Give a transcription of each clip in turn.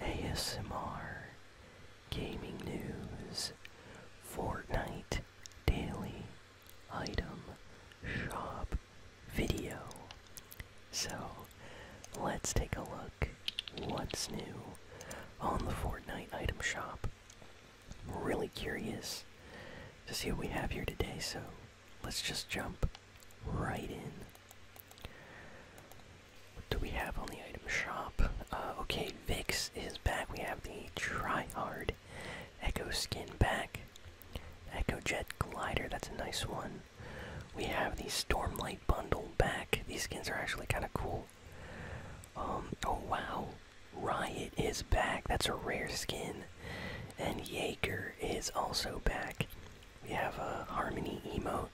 ASMR, gaming news, Fortnite daily item shop video. So, let's take a look what's new on the Fortnite item shop. really curious to see what we have here today, so let's just jump right in. What do we have on the item shop? Uh, okay, Vix is back. We have the Try Hard Echo Skin back. Echo Jet Glider, that's a nice one. We have the Stormlight Bundle back. These skins are actually kind of cool. Um, oh wow. Riot is back. That's a rare skin. And Jaeger is also back. We have a harmony emote.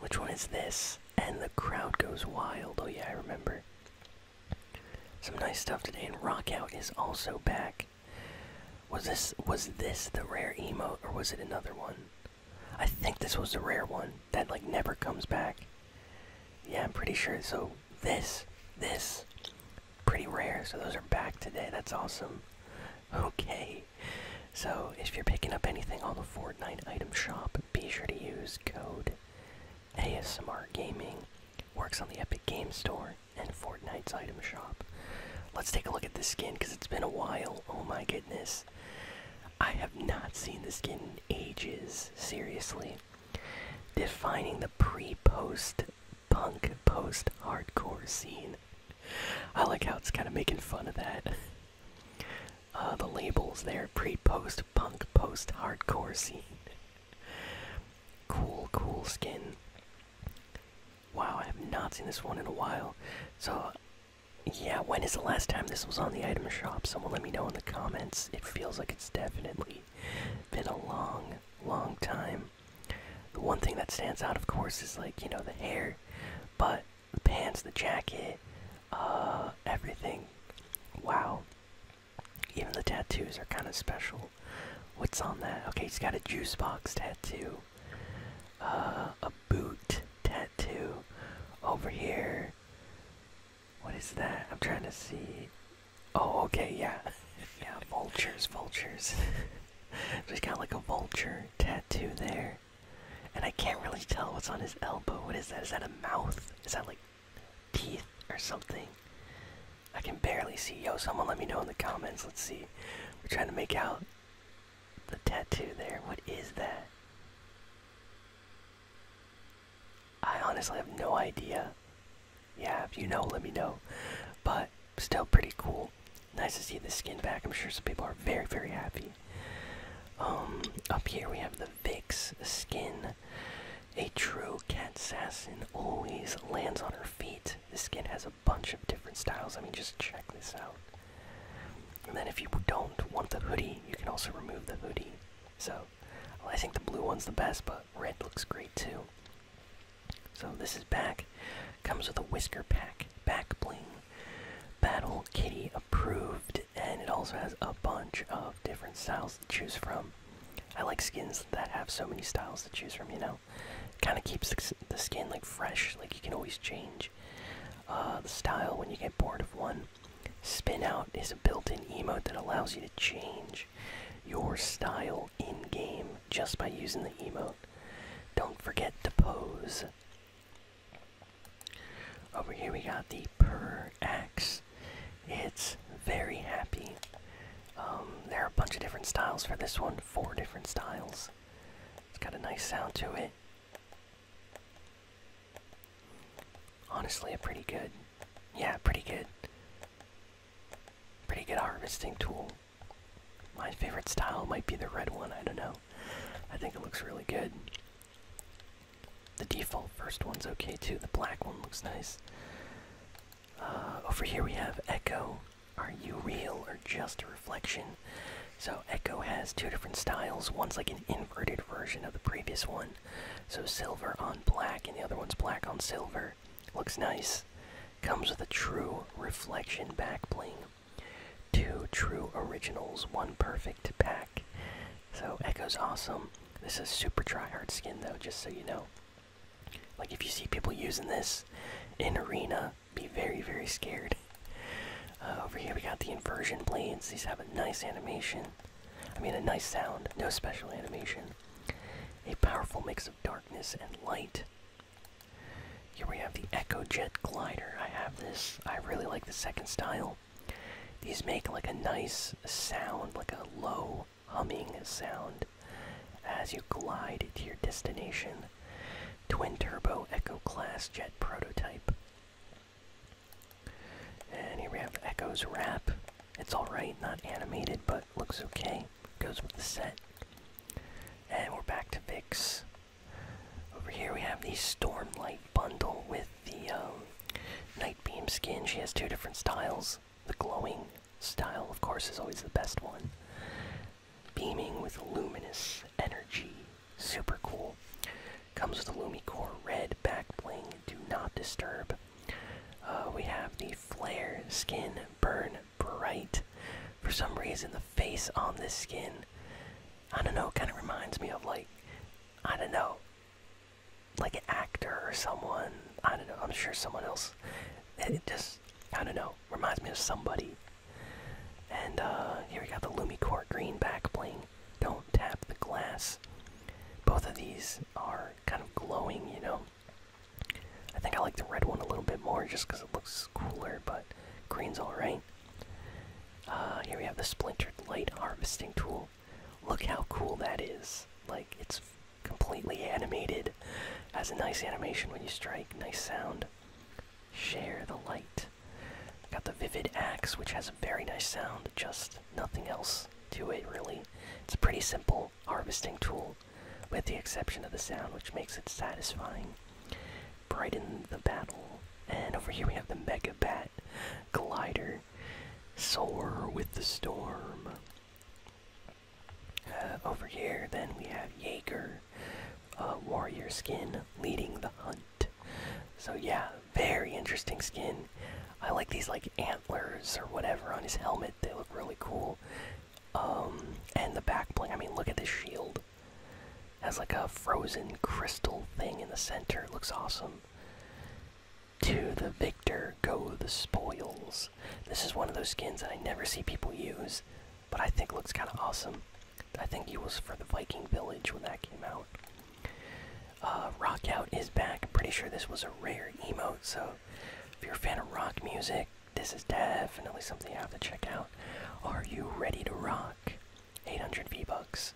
Which one is this? And the crowd goes wild. Oh yeah, I remember. Some nice stuff today, and Rock Out is also back. Was this was this the rare emote or was it another one? I think this was the rare one that like never comes back. Yeah, I'm pretty sure. So this, this, pretty rare. So those are back today. That's awesome. Okay, so if you're picking up anything on the Fortnite item shop, be sure to use code ASMR Gaming. Works on the Epic Games Store and Fortnite's item shop. Let's take a look at this skin because it's been a while. Oh my goodness. I have not seen this skin in ages, seriously. Defining the pre post punk post hardcore scene. I like how it's kind of making fun of that. Uh, the labels there pre post punk, post hardcore scene. cool, cool skin. Wow, I have not seen this one in a while. So, yeah, when is the last time this was on the item shop? Someone let me know in the comments. It feels like it's definitely been a long, long time. The one thing that stands out, of course, is like, you know, the hair. But the pants, the jacket, uh, everything. Wow. Even the tattoos are kind of special. What's on that? Okay, he's got a juice box tattoo, uh, a boot tattoo. Over here, what is that? I'm trying to see. Oh, okay, yeah. Yeah, vultures, vultures. He's got like a vulture tattoo there. And I can't really tell what's on his elbow. What is that? Is that a mouth? Is that like teeth or something? I can barely see. Yo, someone let me know in the comments. Let's see. We're trying to make out the tattoo there. What is that? I honestly have no idea. Yeah, if you know, let me know. But still pretty cool. Nice to see the skin back. I'm sure some people are very, very happy. Um, up here we have the Vix skin. A true cat assassin always lands on her feet. This skin has a bunch of different styles. I mean, just check this out. And then if you don't want the hoodie, you can also remove the hoodie. So, I think the blue one's the best, but red looks great too. So this is back. Comes with a whisker pack, back bling, Battle Kitty approved, and it also has a bunch of different styles to choose from. I like skins that have so many styles to choose from, you know? Kind of keeps the, skin like fresh, like you can always change uh, the style when you get bored of one. Spin out is a built-in emote that allows you to change your style in game just by using the emote. Don't forget to pose. Over here we got the Purr Axe. It's very happy. Um, there are a bunch of different styles for this one, four different styles. It's got a nice sound to it. Honestly, a pretty good, yeah, pretty good, pretty good harvesting tool. My favorite style might be the red one, I don't know. I think it looks really good. The default first one's okay too. The black one looks nice. Uh, over here we have Echo. Are you real or just a reflection? So Echo has two different styles. One's like an inverted version of the previous one. So silver on black, and the other one's black on silver. Looks nice. Comes with a true reflection back bling, Two true originals, one perfect pack. So Echo's awesome. This is super try hard skin though, just so you know. Like if you see people using this in arena, be very very scared. Uh, over here we got the inversion blades. These have a nice animation. I mean a nice sound. No special animation. A powerful mix of darkness and light. Here we have the Echo Jet Glider. I have this. I really like the second style. These make like a nice sound, like a low humming sound as you glide to your destination. Twin turbo Echo class jet prototype. And here we have Echo's wrap. It's alright, not animated, but looks okay. Goes with the set. And we're back to Vix. Over here we have the Stormlight bundle with the um, Nightbeam skin. She has two different styles. The glowing style, of course, is always the best one. Beaming with luminous energy. Super cool. Comes with a Lumicore red back bling. Do not disturb. Uh, we have the Flare skin, Burn Bright. For some reason, the face on this skin, I don't know, kind of reminds me of like I don't know, like an actor or someone. I don't know. I'm sure someone else. It just I don't know. Reminds me of somebody. And uh, here we got the Lumicore Green back bling. Don't tap the glass. Both of these are kind of glowing, you know. I think I like the red one a little bit more just because it looks cooler, but green's alright. Uh, here we have the splintered light harvesting tool. Look how cool that is! Like it's completely animated. Has a nice animation when you strike. Nice sound. Share the light. got the vivid axe, which has a very nice sound. Just nothing else to it really. It's a pretty simple harvesting tool, with the exception of the sound, which makes it satisfying brighten the battle. And over here we have the Mega Bat Glider. Soar with the storm. Uh, over here, then we have Jaeger, uh, warrior skin, leading the hunt. So yeah, very interesting skin. I like these like antlers or whatever on his helmet. They look really cool. Um, and the back bling. I mean, look at this shield. Has like a frozen crystal thing in the center. looks awesome. To the victor go the spoils. This is one of those skins that I never see people use, but I think looks kind of awesome. I think it was for the Viking Village when that came out. Uh, rock Out is back. I'm pretty sure this was a rare emote, so if you're a fan of rock music, this is definitely something you have to check out. Are you ready to rock? 800 V-Bucks.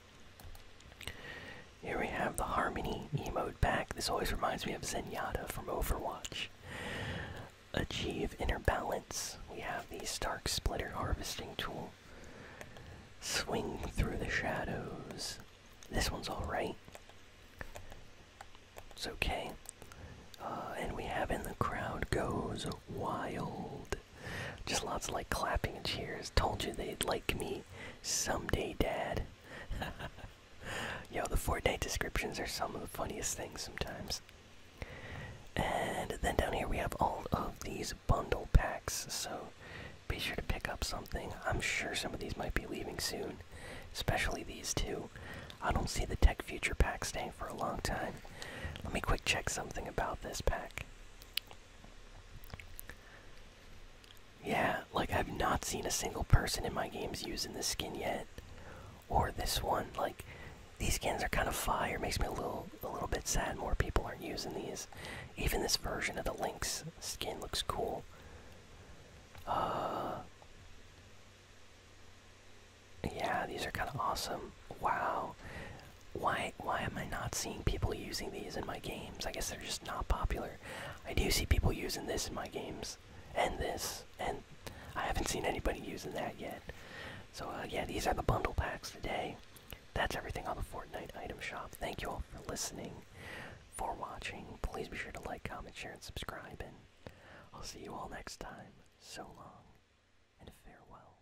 Here we have the Harmony emote back. This always reminds me of Zenyatta from Overwatch. Achieve Inner Balance. We have the Stark Splitter Harvesting Tool. Swing Through the Shadows. This one's alright. It's okay. Uh, and we have In the Crowd Goes Wild. Just lots of like clapping and cheers. Told you they'd like me someday, Dad. Yo, the Fortnite descriptions are some of the funniest things sometimes. And then down here we have all of these bundle packs, so be sure to pick up something. I'm sure some of these might be leaving soon, especially these two. I don't see the Tech Future pack staying for a long time. Let me quick check something about this pack. Yeah, like I've not seen a single person in my games using this skin yet, or this one. Like these skins are kind of fire. Makes me a little, a little bit sad. More people aren't using these. Even this version of the Lynx skin looks cool. Uh, yeah, these are kind of awesome. Wow, why why am I not seeing people using these in my games? I guess they're just not popular. I do see people using this in my games, and this, and I haven't seen anybody using that yet. So uh, yeah, these are the bundle packs today. That's everything on the Fortnite item shop. Thank you all for listening, for watching. Please be sure to like, comment, share, and subscribe, and I'll see you all next time. So long, and farewell.